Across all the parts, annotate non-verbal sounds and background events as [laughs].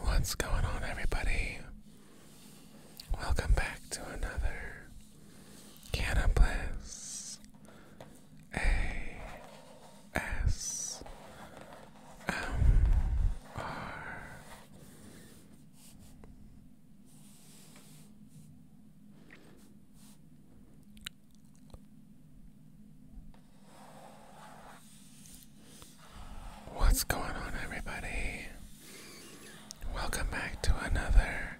What's going on, everybody? Welcome back to another Canna A S M R. What's going on, everybody? Welcome back to another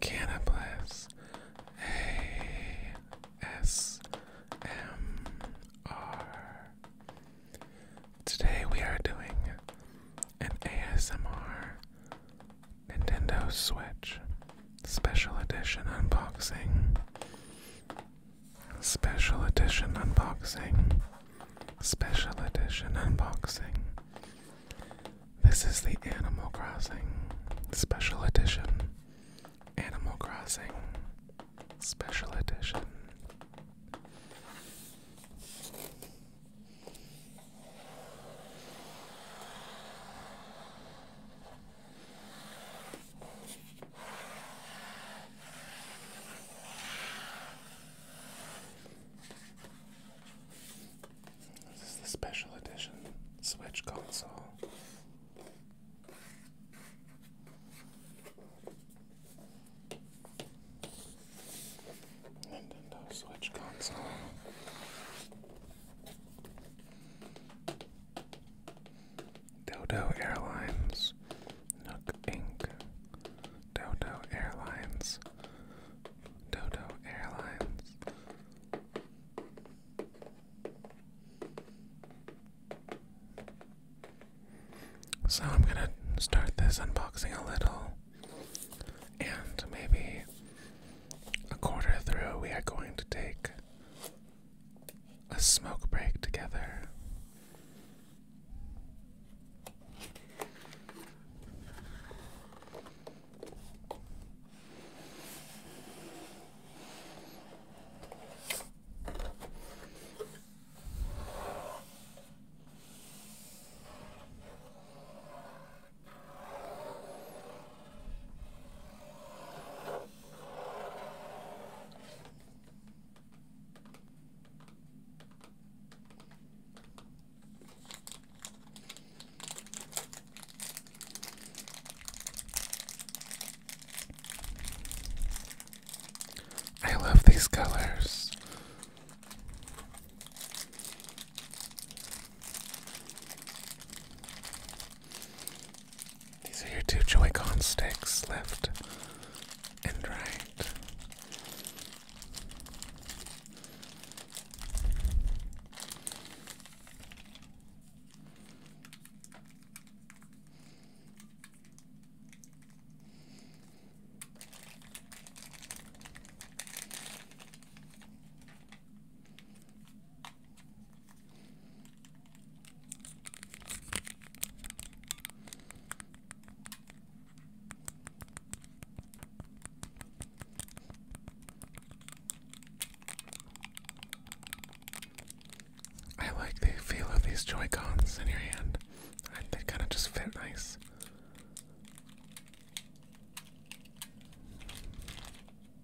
ASMR. Today we are doing an ASMR Nintendo Switch Special edition unboxing. Special edition unboxing. Special edition unboxing. This is the Animal Crossing Special Edition. Animal Crossing Special Edition. This is the special edition Switch console. Nintendo Switch console. Dodo Airlines, Nook Inc., Dodo Airlines, Dodo Airlines. So I'm gonna start this unboxing a little, and maybe a quarter through we are going to take a smoke break together. I love these colors. These are your two Joy-Con sticks, left and right. I like the feel of these Joycons in your hand. they kind of just fit nice.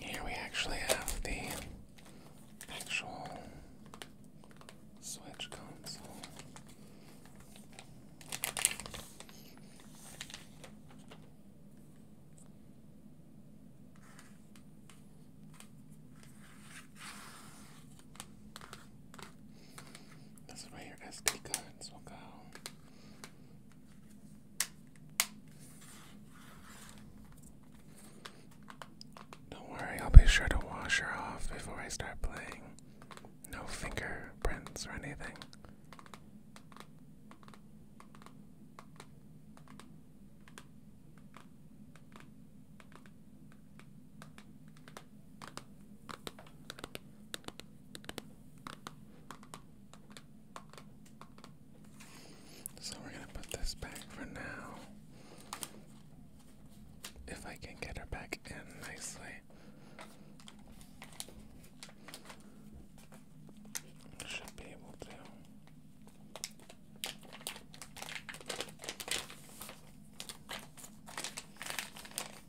Here we actually have the actual Switch console. This is where your SD cards will go. Don't worry, I'll be sure to wash her off before I start playing. No fingerprints or anything. So we're gonna put this back for now. If I can get her back in nicely, should be able to.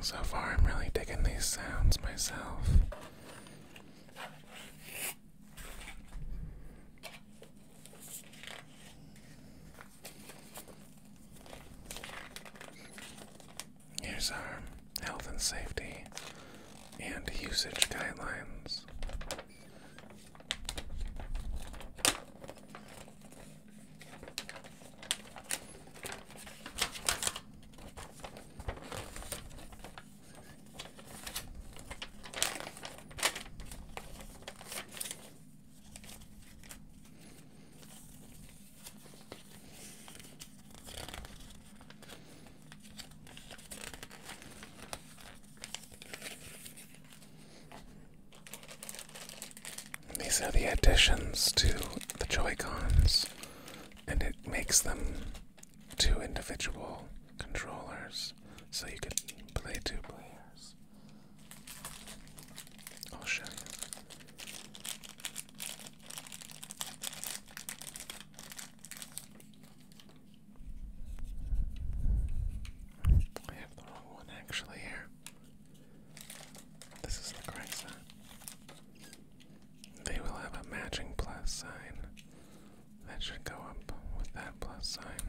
So far, I'm really digging these sounds myself. Here's our health and safety and usage guidelines. These are the additions to the Joycons, and it makes them two individual controllers, so you can play two players. I'll show you. I have the wrong one actually here. This is the correct sign. They will have a matching plus sign. That should go up with that plus sign.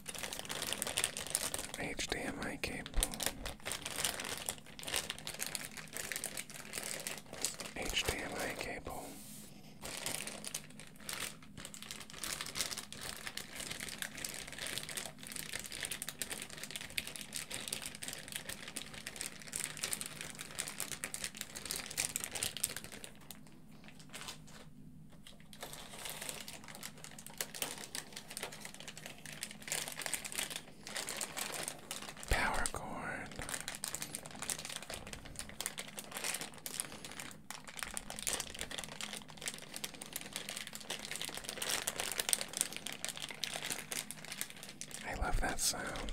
HDMI cable. HDMI cable. Power cord. I love that sound.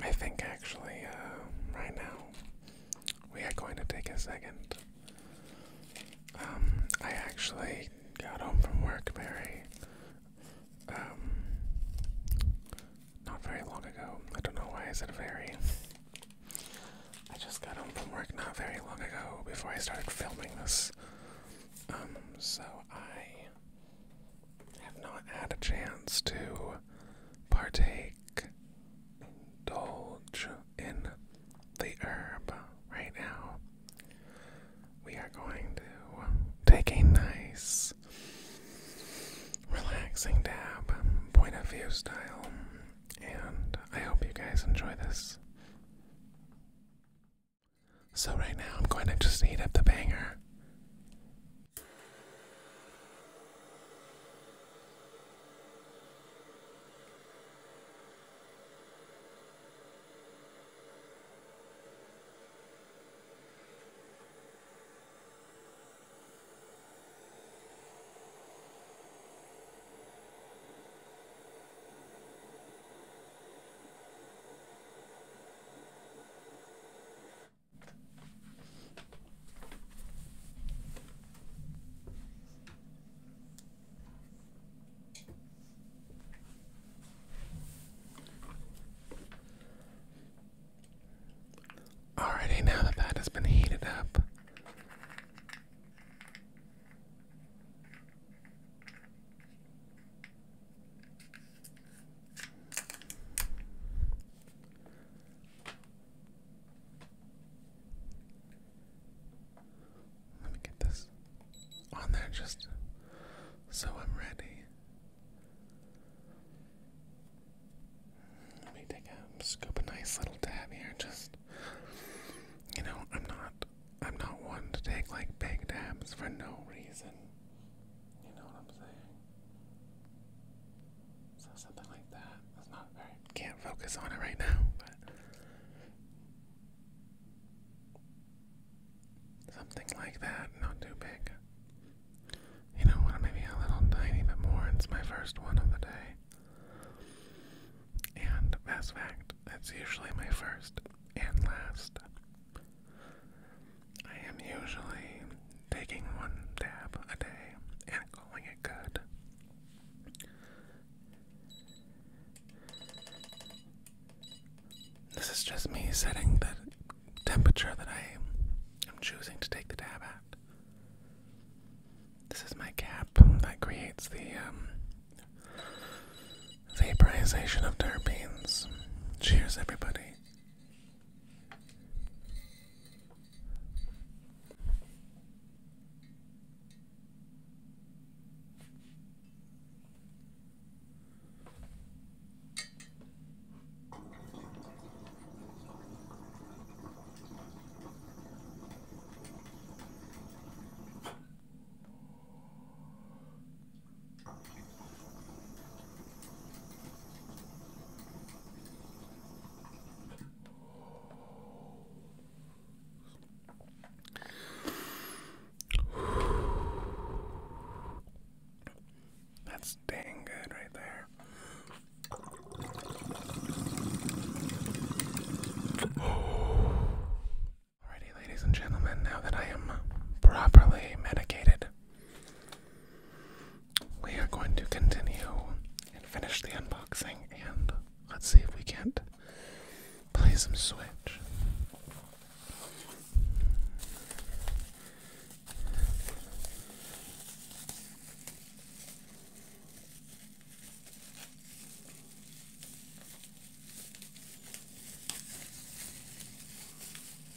I think actually, uh, right now, we are going to take a second. Um, I actually got home from work, Mary. Um, not very long ago. I don't know why is it very. I just got home from work not very long ago before I started filming this. Um, so I have not had a chance to partake, indulge in the herb right now, we are going to take a nice, relaxing dab, point of view style, and I hope you guys enjoy this. So, right now, I'm going to just heat up the banger. Alrighty, now that that has been heated up, let me get this on there just so I'm ready. Let me take a scoop a nice little dab here. Just you know, I'm not I'm not one to take like big dabs for no reason. You know what I'm saying? So something like that. That's not very. Can't focus on it right now, but something like that. Not too big. You know what? Maybe a little tiny bit more. It's my first one of the day, and that's fact. That's usually my first and last. I am usually taking one dab a day and calling it good. This is just me setting the temperature that I am choosing to take the dab at. This is my cap that creates the um, Vaporization of terpenes. Cheers, everybody. That's dang good right there. Alrighty, ladies and gentlemen, now that I am properly medicated, we are going to continue and finish the unboxing, and let's see if we can't play some Switch.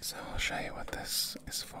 So I'll show you what this is for.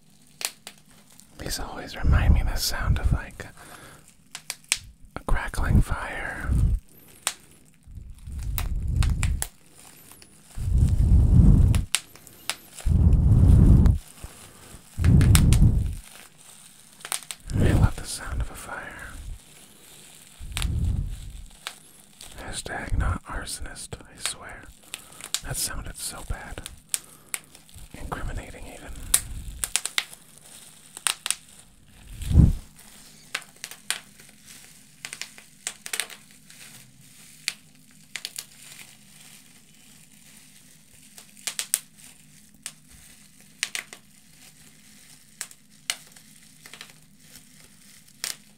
These always remind me of the sound of like a crackling fire. I love the sound of a fire. Hashtag not arsonist, I swear. That sounded so bad. Incriminating, even.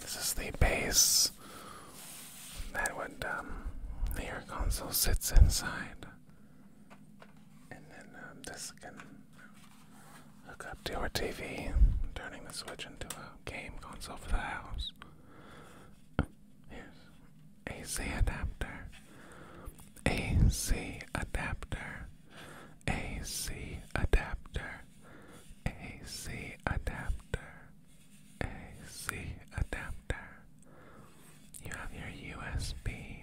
This is the base that would um, your console sits inside and then um, this can hook up to our TV, turning the Switch into a game console for the house. Here's AC adapter, AC adapter, AC adapter, AC adapter. AC adapter. You have your USB,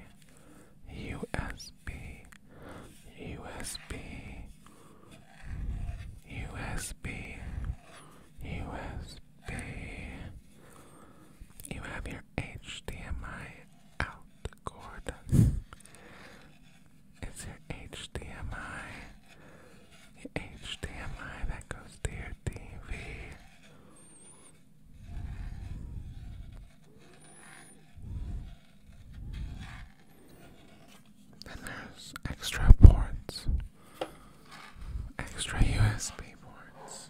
USB, USB, USB, USB. You have your HDMI out cord. it's your HDMI. The HDMI that goes to your TV. Then there's extra ports, extra USB ports.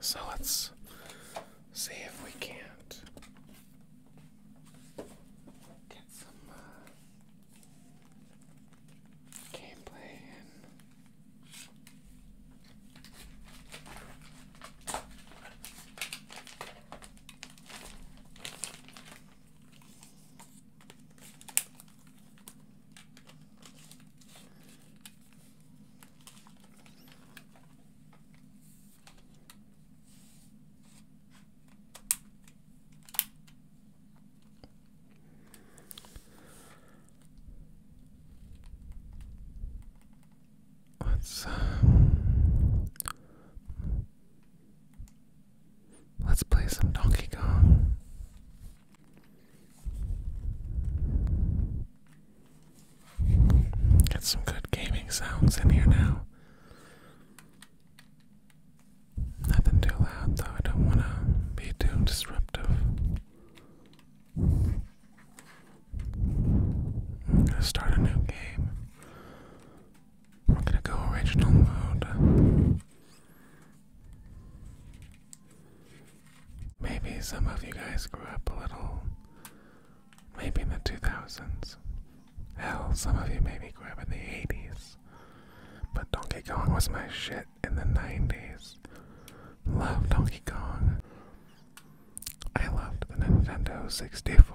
So let's see if we can't get some uh, gameplay Let's um, let's play some Donkey Kong. Get some good gaming sounds in here now. Nothing too loud though, I don't want to be too disruptive. I'm gonna start a new game. We're gonna go original mode. Maybe some of you guys grew up a little, maybe in the 2000s. Hell, some of you maybe grew up in the 80s. But Donkey Kong was my shit in the 90s. Love Donkey Kong. I loved the Nintendo 64,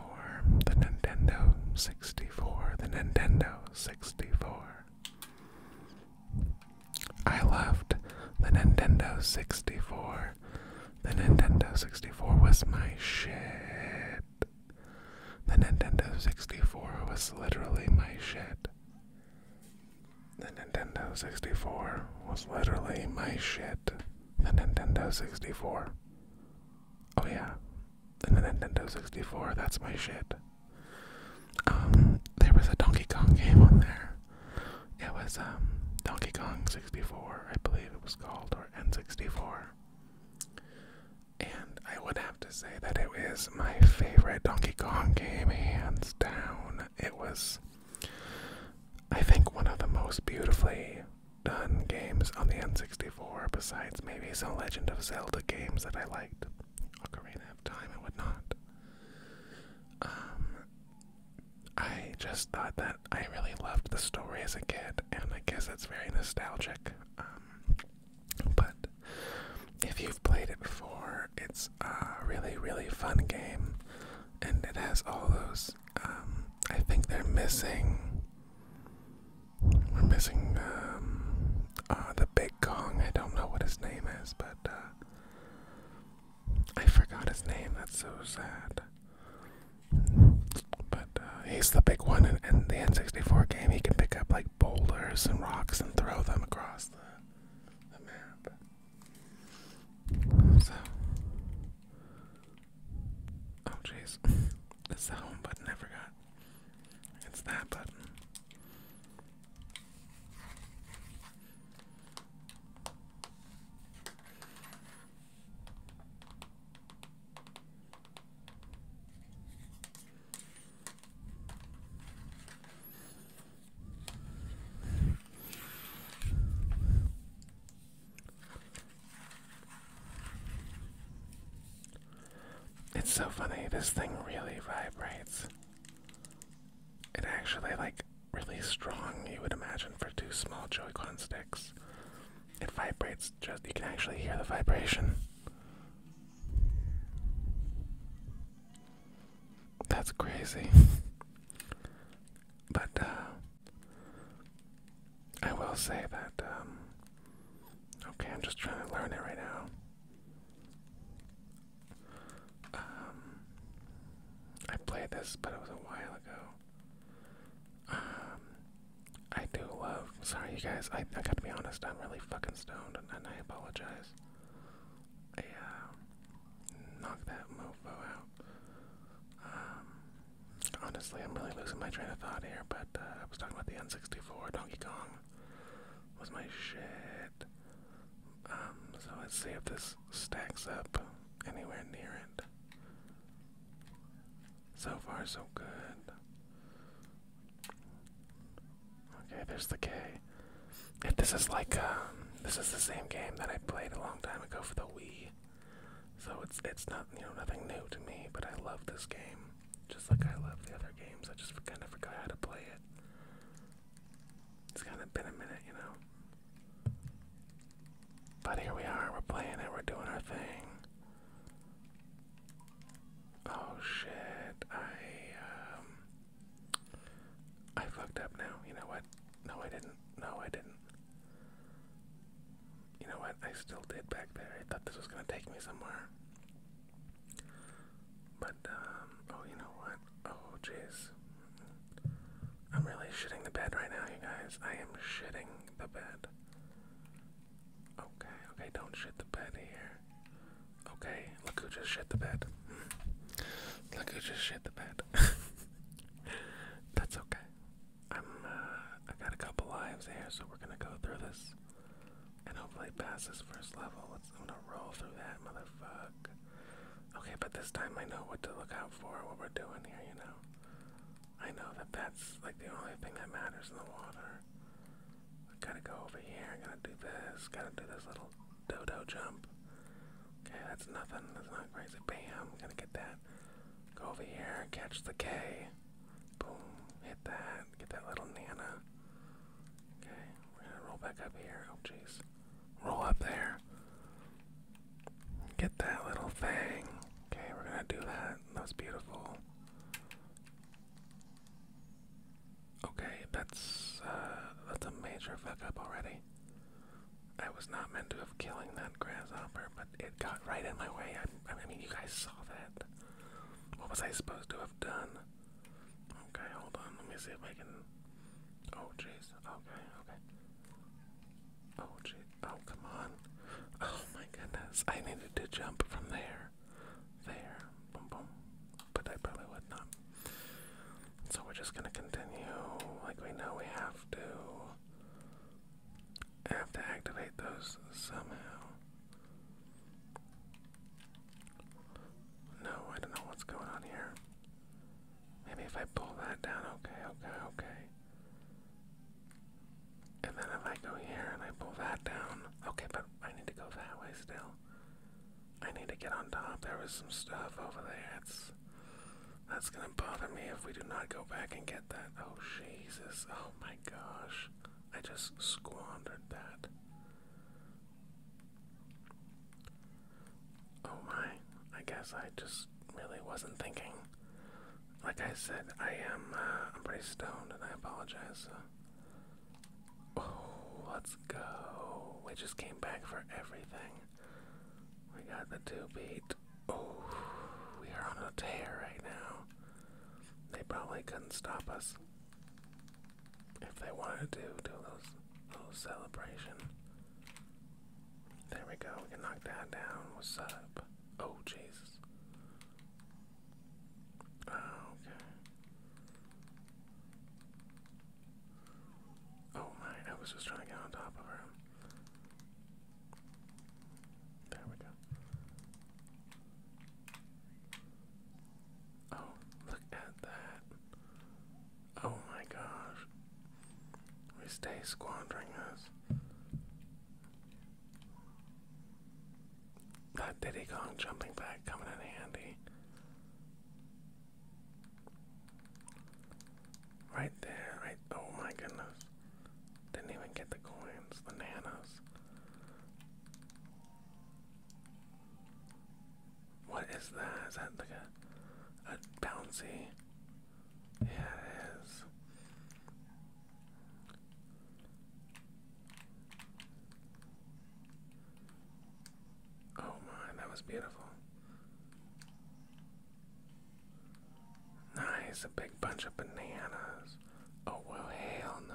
the Nintendo 64, the Nintendo 64. I loved the Nintendo 64. The Nintendo 64 was my shit. The Nintendo 64 was literally my shit. The Nintendo 64 was literally my shit. The Nintendo 64. Oh, yeah. The Nintendo 64, that's my shit. Um, there was a Donkey Kong game on there. It was um Donkey Kong 64, I believe it was called, or N64. And I would have to say that it was my favorite Donkey Kong game, hands down. It was, I think, one of the most beautifully done games on the N64, besides maybe some Legend of Zelda games that I liked. I Ocarina have Time I would not. Um, I just thought that I really loved the story as a kid, and I guess it's very nostalgic. Um, but if you've played it before, it's a really, really fun game, and it has all those. Um, I think they're missing. We're missing um, uh, the big Kong. I don't know what his name is, but. Uh, I forgot his name. That's so sad. But uh, he's the big one in, in the N64 game. He can pick up like boulders and rocks and throw them across the, the map. So, oh jeez, it's [laughs] the home button I forgot. It's that button. It's so funny, this thing really vibrates it actually like really strong you would imagine for two small Joy-Con sticks. It vibrates just you can actually hear the vibration. That's crazy. but uh, I will say that um, okay, I'm just trying to learn it right now. Um, I played this, but it was a while ago. Um, I do love. Sorry, you guys. I I gotta be honest. I'm really fucking stoned, and, I apologize. I uh, that mofo out. Um, honestly, I'm really losing my train of thought here. But uh, I was talking about the N64. Donkey Kong was my shit. Um, so let's see if this stacks up anywhere near it. So far, so good. Okay, there's the K. this is like, um, this is the same game that I played a long time ago for the Wii. So it's it's not you know nothing new to me, but I love this game, just like I love the other games. I just kind of forgot how to play it. It's kind of been a minute, you know. But here we are, we're playing it, we're doing our thing. Oh shit, I, um. I fucked up now. You know what? No, I didn't. No, I didn't. You know what? I still did back there. I thought this was gonna take me somewhere. But um, oh, you know what? Oh, jeez. I'm really shitting the bed right now, you guys. I am shitting the bed. Okay, okay, don't shit the bed here. Okay, look who just shit the bed. look who just shit the bed. [laughs] That's okay. I'm, uh, I got a couple lives here, so we're gonna go through this and hopefully pass this first level I'm gonna roll through that motherfucker. Okay, but this time I know what to look out for, what we're doing here, you know. I know that that's like the only thing that matters in the water. I gotta go over here, I gotta do this, gotta do this little dodo jump. Okay, that's nothing, that's not crazy. Bam, going to get that. Go over here, catch the K. Boom, hit that, get that little Nana. Okay, we're gonna roll back up here. Oh, jeez. Roll up there. Get that little thing. Okay, we're gonna do that. That's beautiful. Okay, that's uh, that's a major fuck up already. I was not meant to have killing that grasshopper, but it got right in my way. I, I mean, you guys saw that. What was I supposed to have done? Okay, hold on. Let me see if I can. Oh, jeez. Okay, okay. Oh, gee. Oh, come on. Oh, my goodness. I needed to jump from there. There. Boom, boom. But I probably would not. So we're just gonna continue. Like we know we have to. have to activate those somehow. No, I don't know what's going on here. Maybe if I pull that down, okay, okay, okay. And then if I go here and I pull that down, okay, but I need to go that way still. I need to get on top. There was some stuff over there. That's that's gonna bother me if we do not go back and get that. Oh Jesus! Oh my gosh! I just squandered that. Oh my, I guess I just really wasn't thinking. Like I said, I am, uh, I'm pretty stoned and I apologize. Oh, let's go. We just came back for everything. We got the two beat. Oh, we are on a tear right now. They probably couldn't stop us if they wanted to do a little, little celebration. There we go. We can knock that down. What's up? Oh, Jesus. Oh, okay. Oh my, I was just trying to get on top of her. There we go. Oh, look at that. Oh my gosh. We stay squandering this. That Diddy Kong jumping back coming in handy. Right there, right oh my goodness. Didn't even get the coins, the nanas. What is that? Is that like a, a bouncy? Yeah, it is. Oh my, that was beautiful. Nice, a big bunch of bananas. Oh, well, hell no.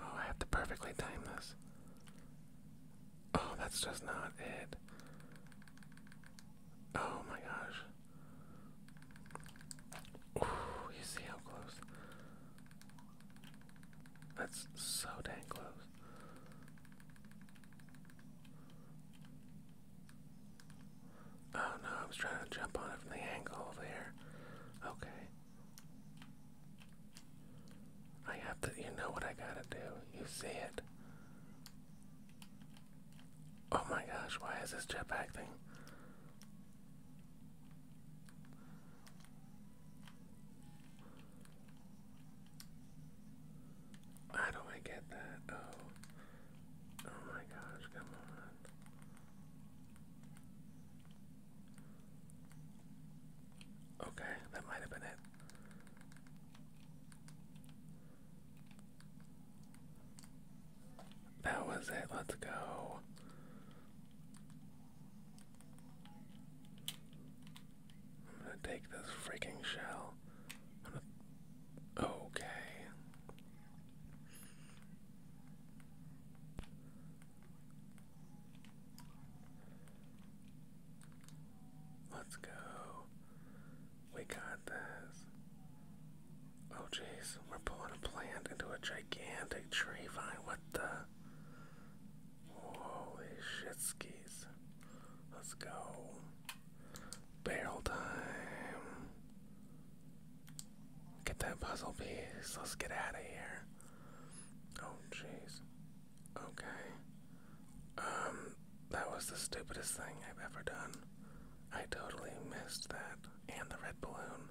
Oh, I have to perfectly time this. Oh, that's just not it. Oh my gosh. you see how close? That's so dang close. Oh no, I was trying to jump on it from the angle there. Okay. I have to, you know what I gotta do. You see it. Oh my gosh, why is this jetpack thing? How do I get that? Oh. Oh my gosh, come on. Okay, that might have been it. That was it. Let's go. I'm gonna take this freaking shell. Okay. Let's go. We got this. Oh jeez, we're pulling a plant into a gigantic tree vine. What the? Holy shit Let's go. Barrel time. Get that puzzle piece. Let's get out of here. Oh jeez. Okay. Um, that was the stupidest thing I've ever done. I totally missed that. And the red balloon.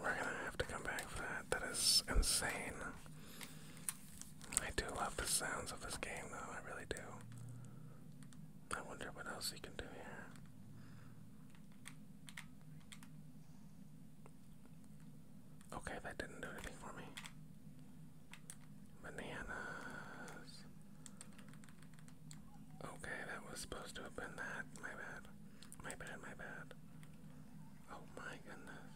We're gonna have to come back for that. That is insane. I do love the sounds of this game, though. I really do. I wonder what else you can do here. Okay, that didn't do anything for me. Bananas. Okay, that was supposed to have that. My bad. My bad, my bad. Oh my goodness.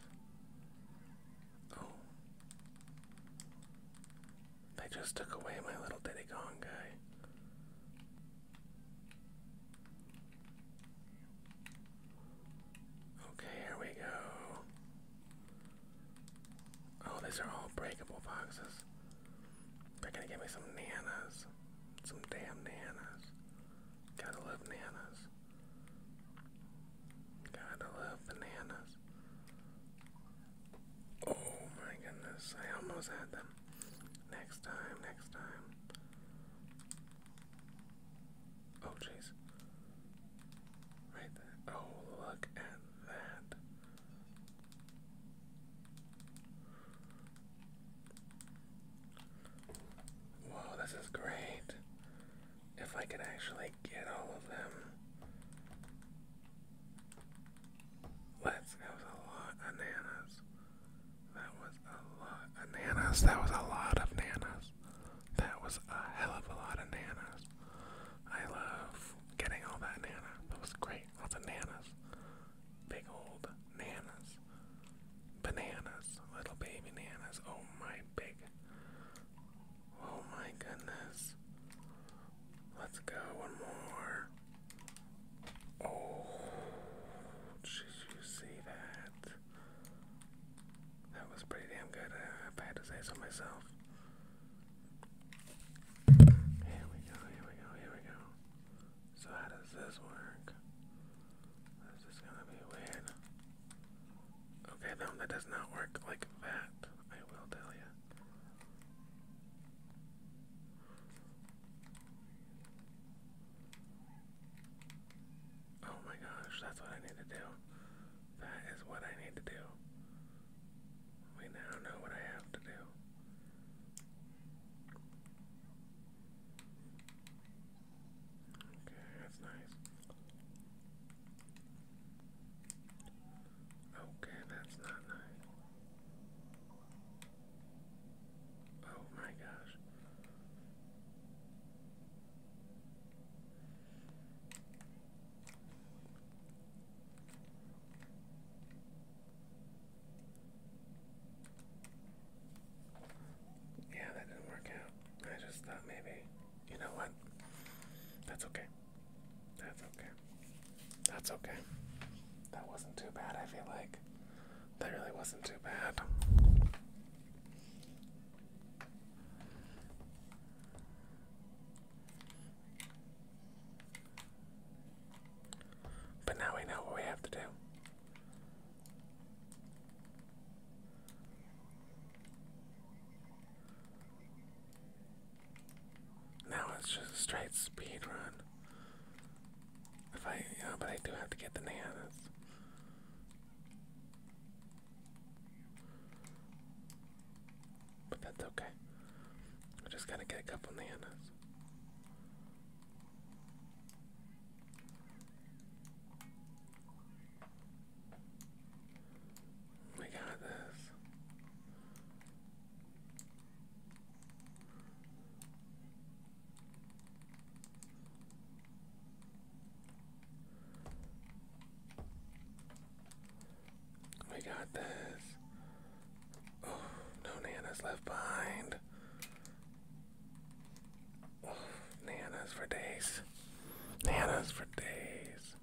Oh. They just took away my little Diddy Kong guy. Okay, here we go. Oh, these are all breakable boxes. They're gonna give me some nanas. Some damn nanas. Gotta love nanas. Gotta love bananas. Oh my goodness, I almost had them. Next time, next time. Oh, jeez. Right there. Oh, look at that. Whoa, this is great. If I could actually get all of them. Let's, that a lot of nanas. That was a lot of nanas. That was a lot of nanas. That was a hell of a lot of nanas. I love getting all that nana. That was great. Lots of nanas. Big old nanas. Bananas. Little baby nanas. Oh my big. Oh my goodness. Let's go one more. Oh, did you see that? That was pretty damn good, if I had to say so myself. Here we go, here we go, here we go. So how does this work? This is gonna be weird. Okay, no, that does not work like that, I will tell you. Oh my gosh, that's what I need to do. That is what I need to do. We now know what I have to do. Okay, that's nice. Okay, that's not nice. Oh my gosh. Yeah, that didn't work out. I just thought maybe, you know what? That's okay. That's okay. That's okay. That wasn't too bad, I feel like. That really wasn't too bad. But now we know what we have to do. Now it's just a straight speed run. If I, you but I do have to get the nanas. But that's okay. I just gotta get a couple on We got this. We got this. Oh, no Nana's left behind. Oh, Nana's for days. Nana's for days.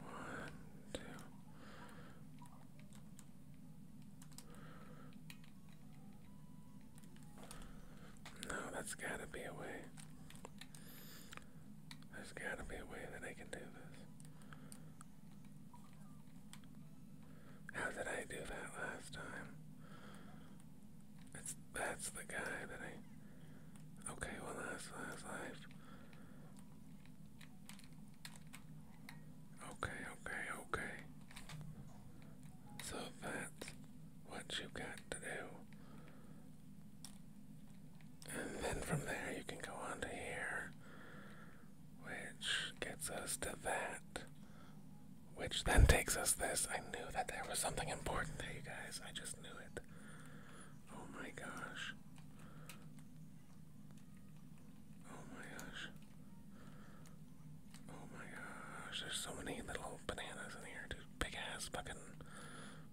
One, two. No, that's gotta be a way. There's gotta be a way that I can do this. How did I do that last time? It's that's the guy that I Okay, well that's last life. Okay, okay, Okay. So that's what you've got to do. And then from there you can go on to here, which gets us to that, which then takes us this. I knew that there was something important there, you guys. I just knew it. Oh my gosh. Oh my gosh. Oh my gosh, there's so many little bananas in here, dude. Big ass fucking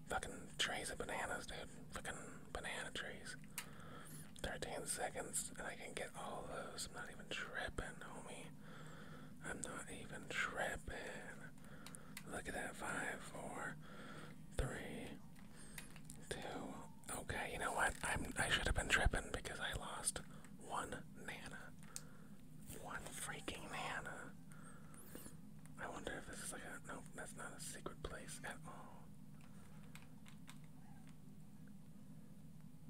fucking trays of bananas, dude. Fucking banana trees. 13 seconds and I can get all those. I'm not even tripping, homie. I'm not even tripping. Look at that. Five, four, three, two. Okay, you know what? I'm I should have been tripping because I lost one nana. One freaking Nana. I wonder if this is like a. Nope, that's not a secret place at all.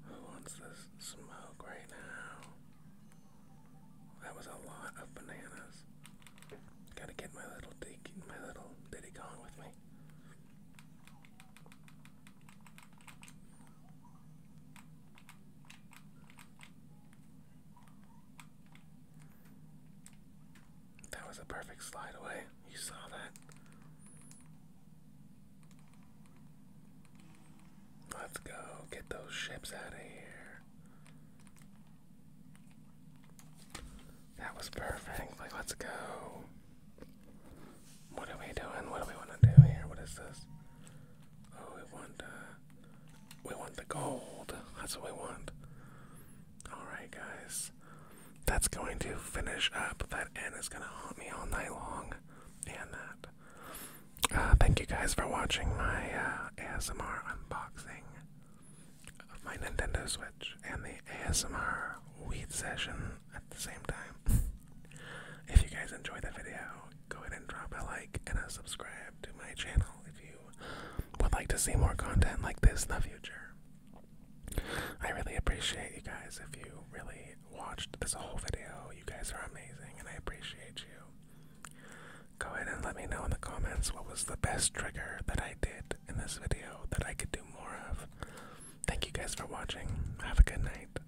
Who wants this smoke right now? That was a lot of bananas. Gotta get my little Diddy, going with me. That was a perfect slide away. You saw that. Let's go get those ships out of here. That was perfect. Like, let's go. What are we doing? What do we want to do here? What is this? Oh, we want, uh, we want the gold. That's what we want. Alright, guys. That's going to finish up. That N is going to haunt me all night long. And that. Uh, thank you guys for watching my uh, ASMR unboxing of my Nintendo Switch and the ASMR weed session at the same time. [laughs] if you guys enjoyed the video, go ahead and drop a like and a subscribe to my channel if you would like to see more content like this in the future. I really appreciate you guys if you really watched this whole video. You guys are amazing and I appreciate you. Go ahead and let me know in the comments what was the best trigger that I did in this video that I could do more of. Thank you guys for watching. Have a good night.